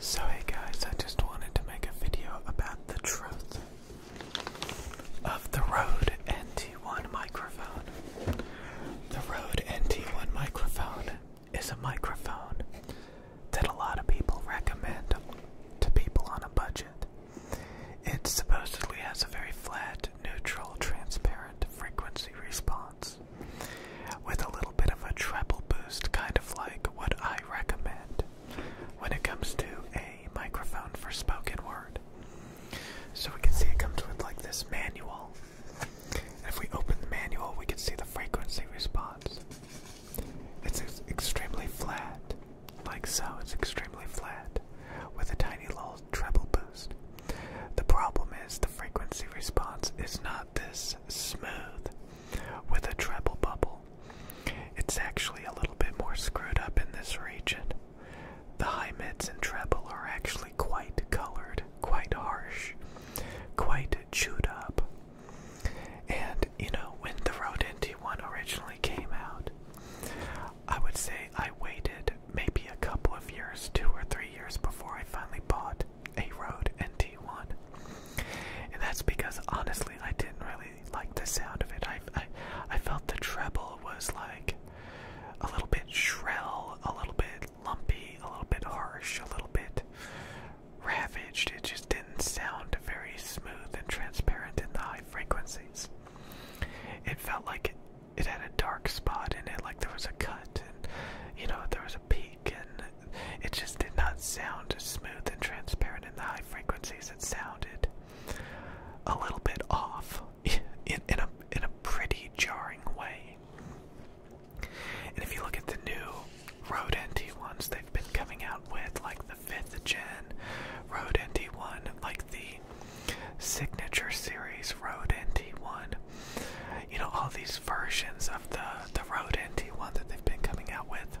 So hey guys, I just wanted to make a video about the truth of the Rode NT1 microphone. The Rode NT1 microphone is a microphone that a lot of people recommend to people on a budget. It supposedly has a very flat, neutral, transparent frequency response with a little bit of a treble boost, kind of like what I recommend when it comes to a microphone for spoken word. So we can see it comes with like this manual. And if we open the manual, we can see the frequency response. It's extremely flat, like so, it's extremely flat with a tiny little treble boost. The problem is the frequency response is not this smooth with a treble bubble. It's actually a little bit more screwed up in this region. The high mids and treble are actually quite colored, quite harsh, quite chewed up. And you know, when the Rodenti one originally came out, I would say I waited maybe a couple of years, two or three years before I finally bought a Rode NT1. And that's because honestly, I didn't really like the sound of it. I, I, felt the treble was like a little bit shrill, a little bit lumpy, a little bit harsh, a little bit ravaged. It just didn't sound very smooth and transparent in the high frequencies. It felt like it had a dark spot in it, like there was a cut, and you know there was a peak, and it just did not sound smooth and transparent in the high frequencies. It sounded a little bit off, in in a in a pretty jarring way. And if you look at the new Rode NT ones they've been coming out with, like the fifth gen Rode NT one, like the Signature Series Rode NT1. You know, all these versions of the, the Rode NT1 that they've been coming out with,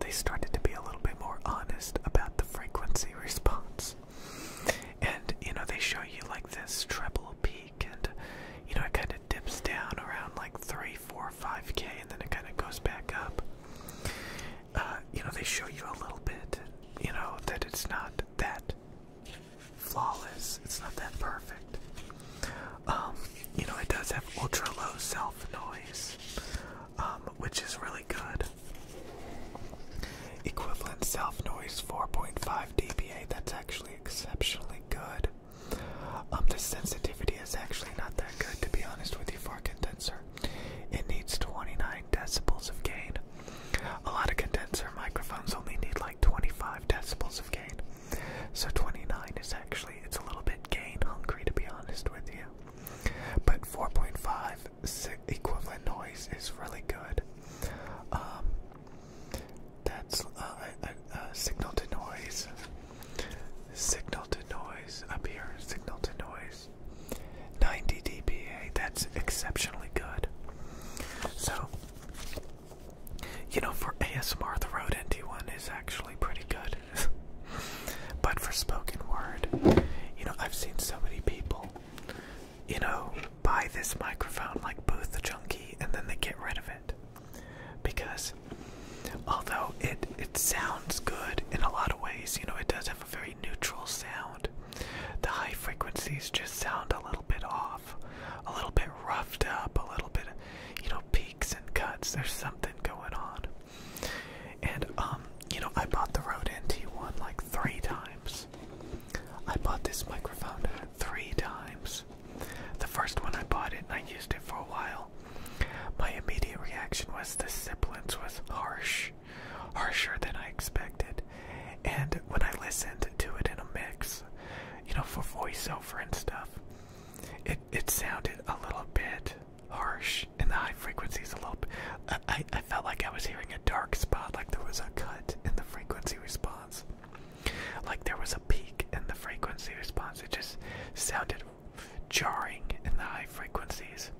they started to be a little bit more honest about the frequency response. And, you know, they show you like this treble peak, and, you know, it kind of dips down around like 3, 4, 5K, and then it kind of goes back up. Uh, you know, they show you a little bit, you know, that it's not that flawless, it's not that perfect. Um, you know, it does have ultra low self noise, um, which is really good. Equivalent self noise 4.5 dBA, that's actually exceptionally good. Um, the sensitivity is actually not that good, to be honest with you, for a condenser. It needs 29 decibels of gain. A lot of condenser microphones only need like 25 decibels of gain. So 29 is actually, it's a little bit gain hungry to be honest with you. But 4.5 equivalent noise is really good. Um, that's uh, a signal to noise. Signal to noise up here. Signal to noise. 90 dpa that's exceptionally good so you know for asmr the rode nt one is actually pretty good but for spoken word you know i've seen so many people you know buy this microphone like booth the junkie and then they get rid of it because although it it sounds good in a lot of ways. You know, it does have a very neutral sound. The high frequencies just sound a little bit off, a little bit roughed up, a little bit, you know, peaks and cuts. There's something going on. And um, you know, I bought the Rode NT1 like three times. I bought this microphone three times. The first one I bought it and I used it for a while. My immediate reaction was the sibilance was harsh, harsher than I expected. And when I listened to it in a mix, you know, for voiceover and stuff, it it sounded a little bit harsh in the high frequencies. A little, bit. I I felt like I was hearing a dark spot, like there was a cut in the frequency response, like there was a peak in the frequency response. It just sounded jarring in the high frequencies,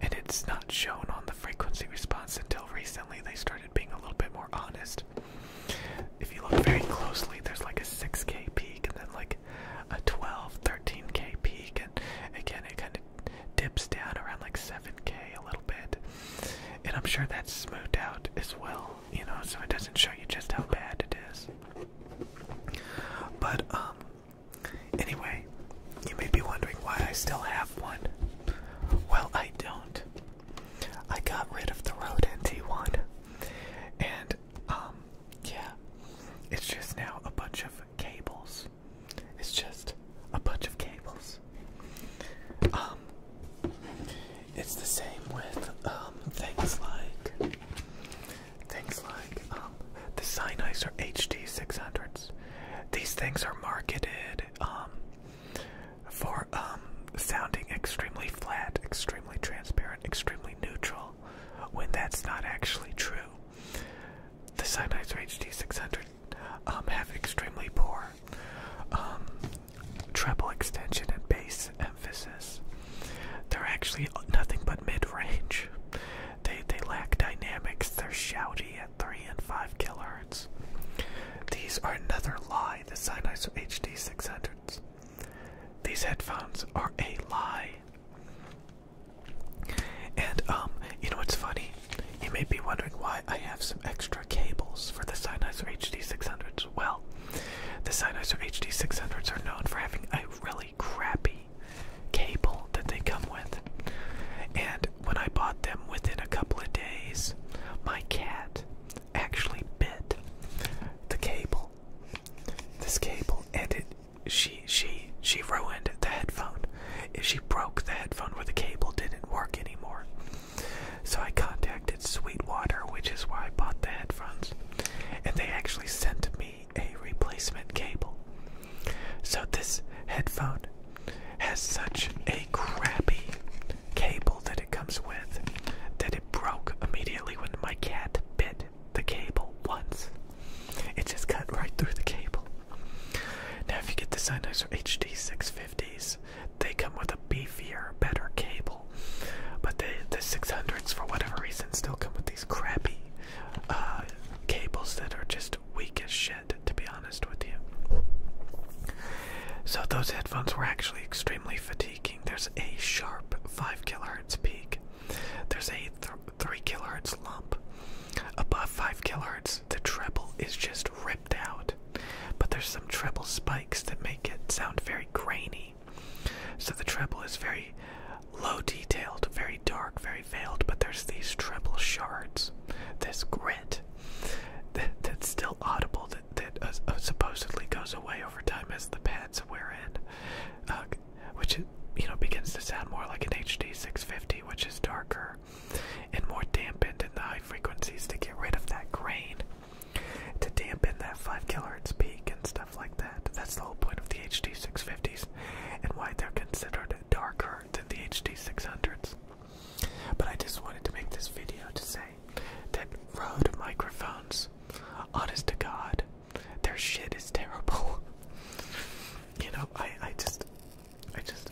and it's not shown on the frequency response until recently they started being a little bit more honest. If you look very closely, there's like a 6k peak and then like a 12, 13k peak, and again, it kind of dips down around like 7k a little bit. And I'm sure that's smoothed out as well, you know, so it doesn't show you just how bad it is. But, um, anyway, you may be wondering why I still have one. Well, I don't. I got rid of the Rode NT1. And, um, yeah. It's just now a bunch of cables. It's just a bunch of cables. Um, it's the same with um, things like things like um, the Sennheiser HD 600s. These things are marketed um, for um, sounding extremely flat, extremely transparent, extremely neutral, when that's not actually true. The or HD 600 um, have extremely poor treble extension and bass emphasis. They're actually nothing but mid-range. They they lack dynamics. They're shouty at three and five kilohertz. These are another lie. The Sennheiser HD 600s. These headphones are a lie. And um, you know what's funny? You may be wondering why I have some extra cables for the Sennheiser HD600s. Well, the Sennheiser HD600s are known for having a really crappy cable that they come with. And when I bought them within a couple of days, my cat actually bit the cable. This cable and it she she she ruined the headphone. She broke the headphone where the cable didn't work anymore. So I contacted Sweetwater, which is where I bought the headphones, and they actually sent me a replacement cable. So this headphone has such a crappy cable that it comes with that it broke immediately when my cat bit the cable once. It just cut right through the cable. Now, if you get the Sennheiser HD 650s, they come with a beefier, better cable, but they, the 600s, for whatever reason, still come with these crappy uh, cables that are just weak as shit, to be honest with you. So those headphones were actually extremely fatiguing. There's a sharp 5 kilohertz peak. There's a 3 kilohertz lump. Above 5 kilohertz, the treble is just ripped out, but there's some treble spikes that make it sound very grainy. So the treble is very low detailed, very dark, very veiled, but there's these treble shards, this grit that's still audible that, uh, uh, supposedly goes away over time as the pads wear in, uh, which you know begins to sound more like an HD 650, which is darker and more dampened in the high frequencies to get rid of that grain, to dampen that 5 kilohertz peak and stuff like that. That's the whole point of the HD650s and why they're considered darker than the HD600s. But I just wanted to make this video to say that Rode microphones, honest to God, their shit is terrible. You know, I, I just I just,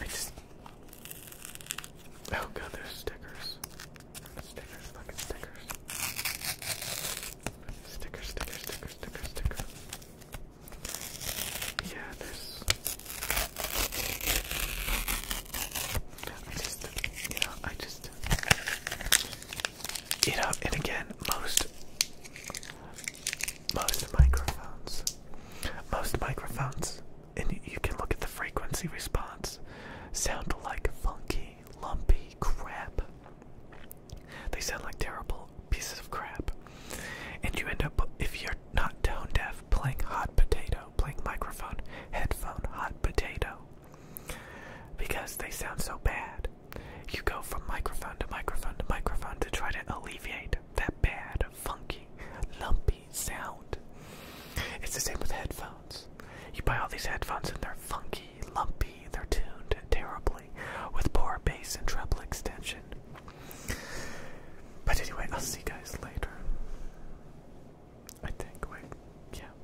I just, oh god, there's stickers, stickers, fucking stickers, sticker, sticker, sticker, sticker, Yeah, there's. I just, you know, I just, you know, and again, most, most microphones. Most microphones, and you can look at the frequency response, sound like funky, lumpy crap. They sound like terrible pieces of crap. And you end up, if you're not tone deaf, playing hot potato, playing microphone, headphone, hot potato. Because they sound so bad. You go from microphone to microphone to microphone to try to alleviate that bad, funky, lumpy sound. It's the same with headphones. You buy all these headphones and they're funky, lumpy, they're tuned terribly with poor bass and treble extension. But anyway, I'll see you guys later. I think, wait, yeah.